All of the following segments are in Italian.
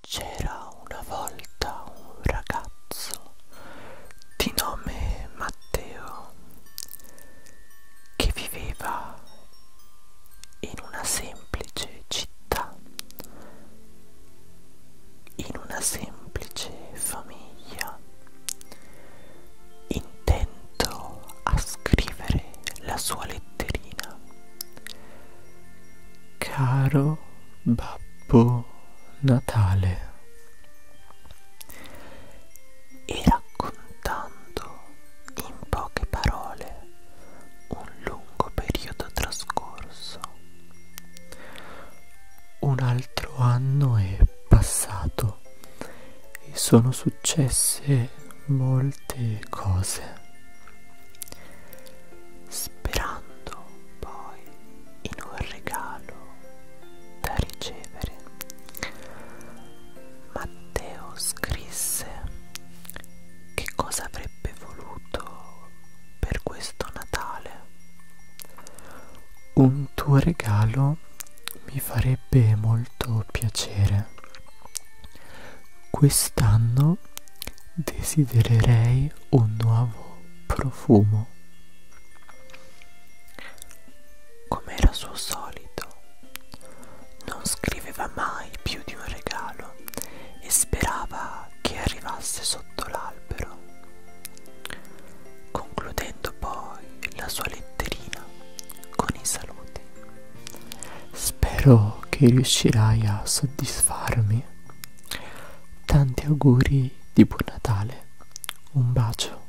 C'era una volta un ragazzo di nome Matteo che viveva in una semplice città, in una semplice famiglia, intento a scrivere la sua lettera letterina. Caro Babbo Natale. E raccontando in poche parole un lungo periodo trascorso. Un altro anno è passato e sono successe molte cose sperando poi in un regalo da ricevere. Matteo scrisse che cosa avrebbe voluto per questo Natale. Un tuo regalo mi farebbe molto piacere. Quest'anno io desidererei un nuovo profumo. Come era suo solito, non scriveva mai più di un regalo e sperava che arrivasse sotto l'albero. Concludendo poi la sua letterina con i saluti. Spero che riuscirai a soddisfarmi. Tanti auguri di buon Natale. Un bacio.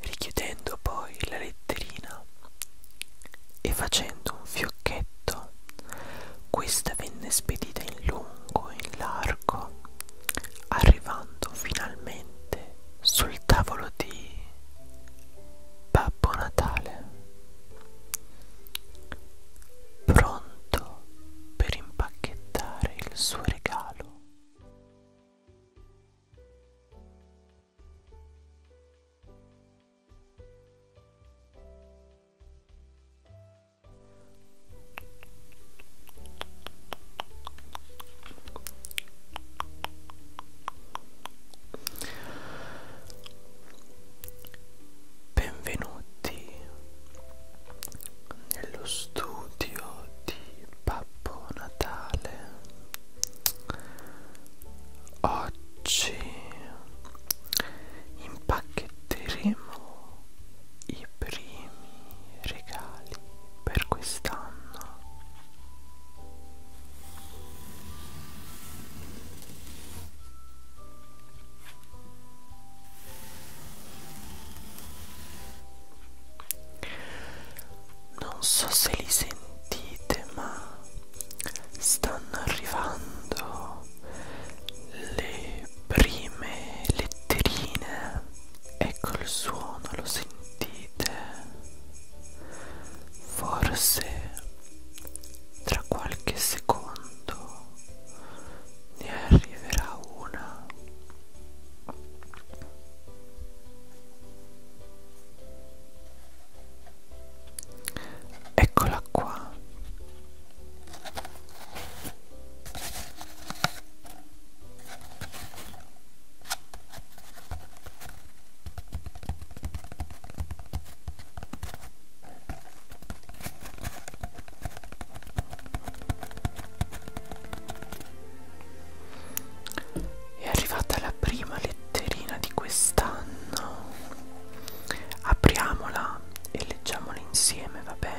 Richiudendo poi la letterina e facendo un fiocchetto, questa venne spedita in lungo, in largo, arrivando finalmente sul tavolo di Babbo Natale pronto per impacchettare il suo regalo. Benvenuti nello studio di Babbo Natale. Oggi impacchetteremo i primi regali per quest'anno. Non so se li sentite, ma stanno arrivando le prime letterine. Ecco il suono, lo sentite? Forse tra qualche secondo ne arriverà una eccola qua è arrivata la prima letterina di quest'anno. Apriamola e leggiamola insieme, va bene?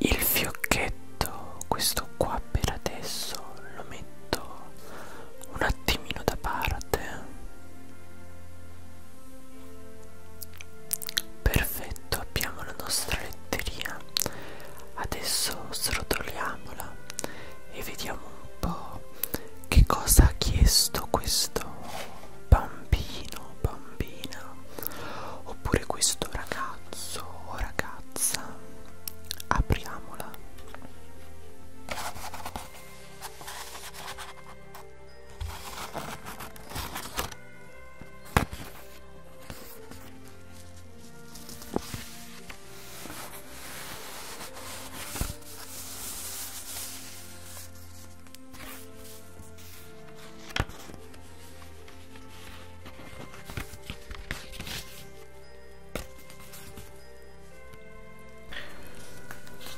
Il fiocchetto, questo qua per adesso lo metto un attimino da parte. Perfetto, abbiamo la nostra letteria. Adesso srotoliamola e vediamo un po' che cosa ha chiesto questo bambino, bambina oppure questo ragazzo o ragazza. Apriamola.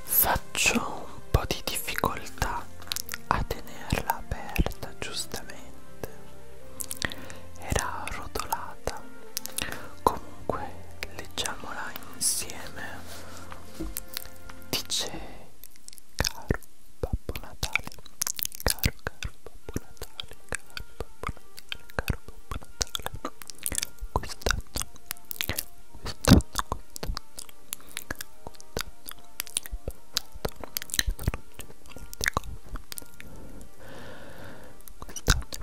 Faccio un po' di difficoltà a tenerla aperta giustamente. Era rotolata. Comunque leggiamola insieme dice caro babbo natale caro caro babbo natale caro babbo natale caro babbo natale quest'anno quest'anno quest'anno quest'anno passato sono cose quest'anno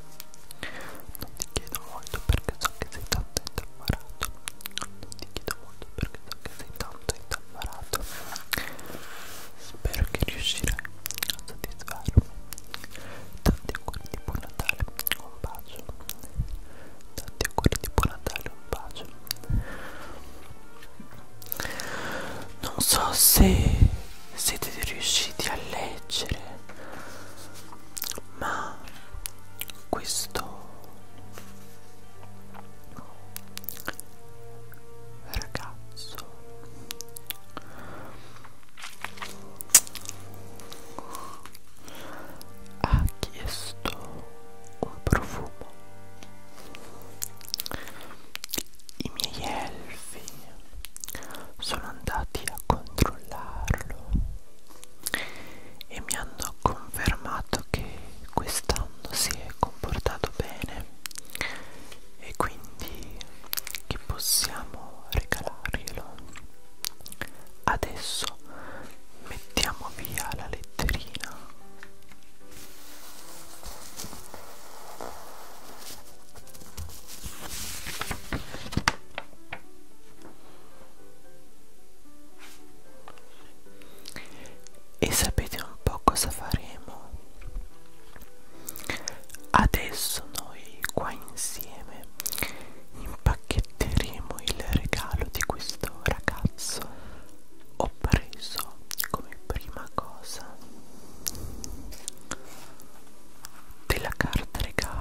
Non ti chiedo molto perché so che sei tanto indammarato. Non ti chiedo molto perché so che sei tanto indammarato. Spero che riuscirai a soddisfarmi. Tanti auguri di buon Natale, un bacio. Tanti auguri di buon Natale, un bacio. Non so se siete riusciti a leggere ma questo ragazzo ha chiesto un profumo i miei elfi sono andati a controllarlo e mi hanno confermato che quest'anno si è comportato bene e quindi che possiamo regalarglielo adesso mettiamo via la letterina e sapete un po' cosa faremo? Adesso noi qua insieme impacchetteremo il regalo di questo ragazzo. Ho preso come prima cosa della carta regalo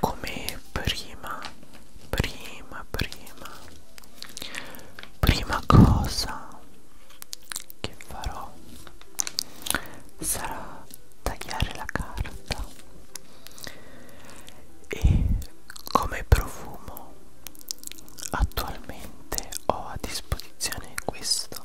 come prima prima prima prima cosa che farò sarà tagliare la carta e come profumo attualmente ho a disposizione questo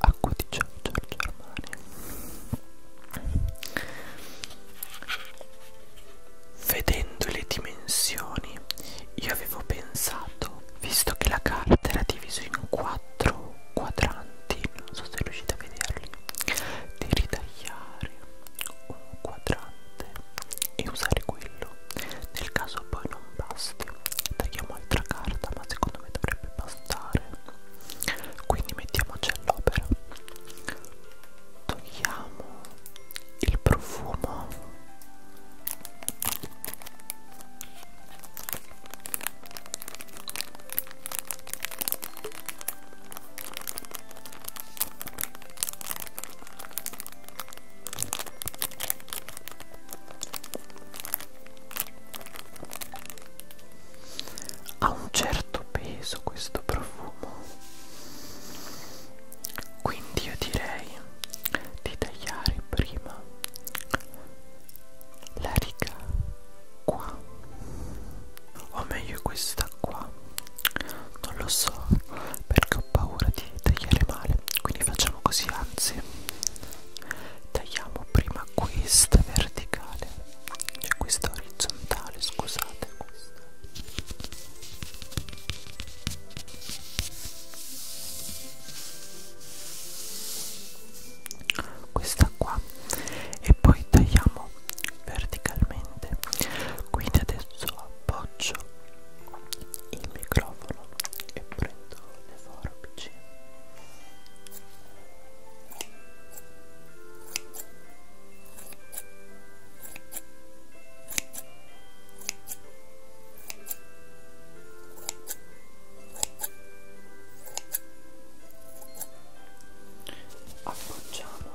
Acqua di Giorgio Armani. Vedendo le dimensioni, io avevo pensato, visto che la carta era divisa in quattro quadranti, non so se riuscite a vederli, di ritagliare un quadrante e usare quello nel caso poi non basti tagliamo altra carta ma secondo me dovrebbe bastare quindi mettiamoci all'opera togliamo il profumo ha un certo peso questo profumo quindi io direi di tagliare prima la riga qua o meglio questa qua non lo so perché ho paura di tagliare male. Quindi facciamo così, anzi, tagliamo prima questa verticale, cioè questa orizzontale, scusate, questa. Questa qua e poi tagliamo verticalmente. Quindi adesso appoggio il microfono e prendo le forbici appoggiamo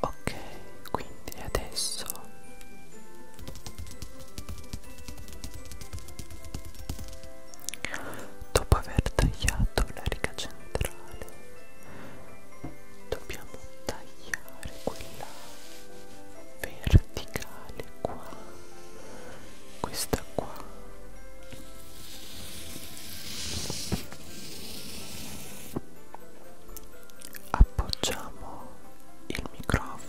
Ok, quindi adesso dopo aver tagliato la riga centrale dobbiamo tagliare quella verde verticale qua questa qua appoggiamo il microfono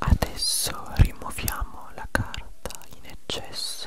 Adesso rimuoviamo la carta in eccesso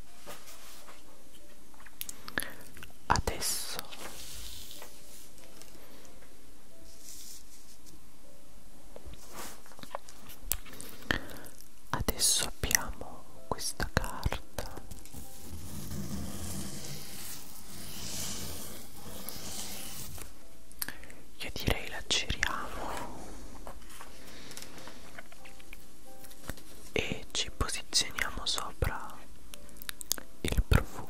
adesso adesso abbiamo questa carta io direi la giriamo e ci posizioniamo sopra il profumo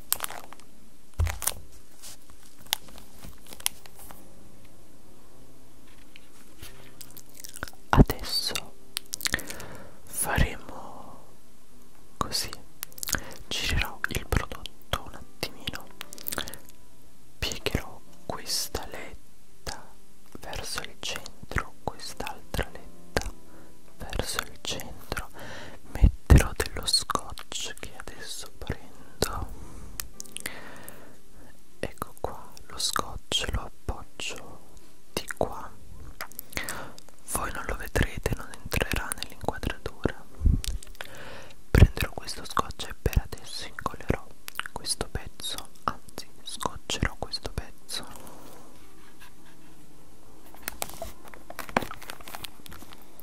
Adesso faremo così, girerò il prodotto un attimino, piegherò questa letta verso il centro, quest'altra letta verso il centro, metterò metterò dello scotch che adesso prendo ecco qua lo scotch lo appoggio di qua voi non lo vedrete non entrerà nell'inquadratura prenderò questo scotch e per adesso incollerò questo pezzo anzi scotcherò questo pezzo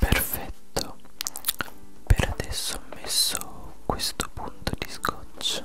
Perfetto, per adesso ho messo questo punto di scotch.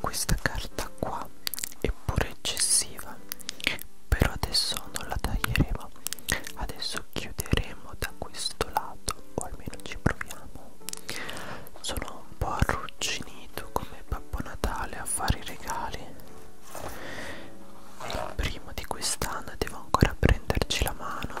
questa carta qua è pure eccessiva però adesso non la taglieremo adesso chiuderemo da questo lato o almeno ci proviamo sono un po' arrugginito come Babbo Natale a fare i regali è il primo di quest'anno devo ancora prenderci la mano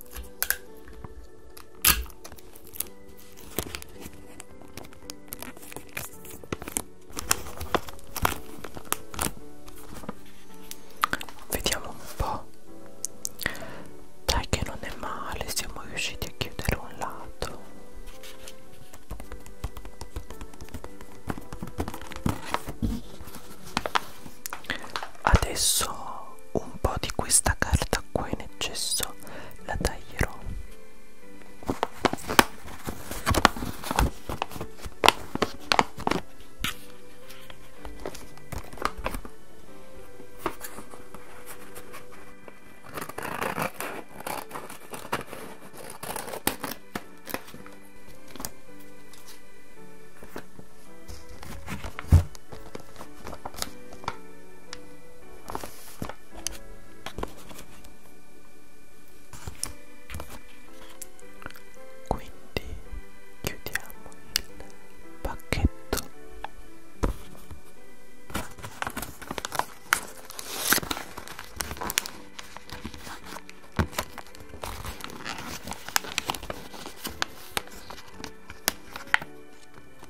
Vediamo un po'. Dai che non è male, siamo riusciti a chiudere un lato. Adesso un po' di questa carta acqua in eccesso la taglierò quindi chiudiamo il pacchetto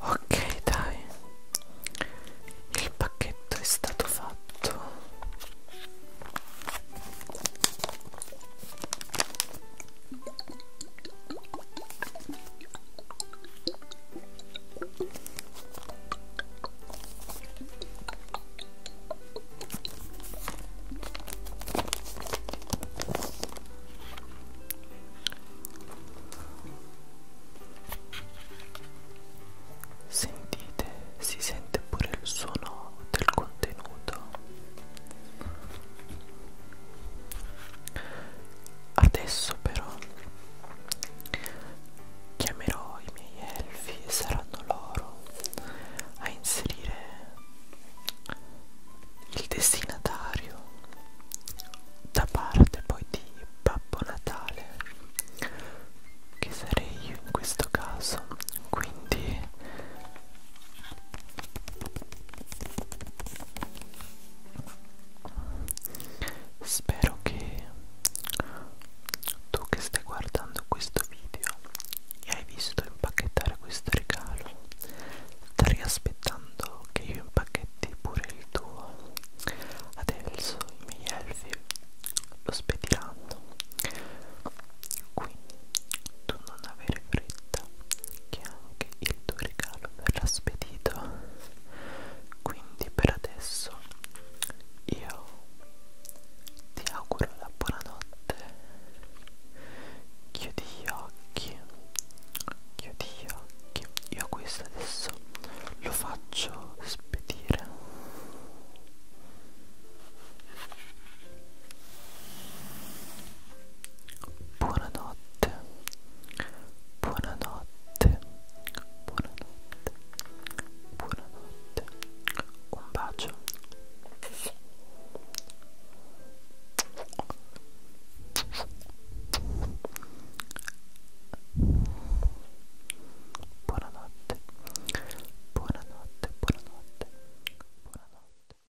Ok, dai. Il pacchetto è stato fatto. Sentite, si sente pure il suono del contenuto. Adesso però chiamerò i miei elfi e saranno loro a inserire il destinatario da parte poi di Babbo Natale che sarei io in questo caso quindi Spero che tu che stai guardando questo video e hai visto impacchettare questo regalo, stai aspettando che io impacchetti pure il tuo. Adesso i miei elfi lo spediranno. Quindi tu non avere fretta che anche il tuo regalo verrà spedito quindi per adesso io ti auguro la buonanotte chiudi gli occhi chiudi gli occhi io questo adesso lo faccio spedire Buonanotte, buonanotte, buonanotte, buonanotte, un bacio. Buonanotte, buonanotte, buonanotte, buonanotte.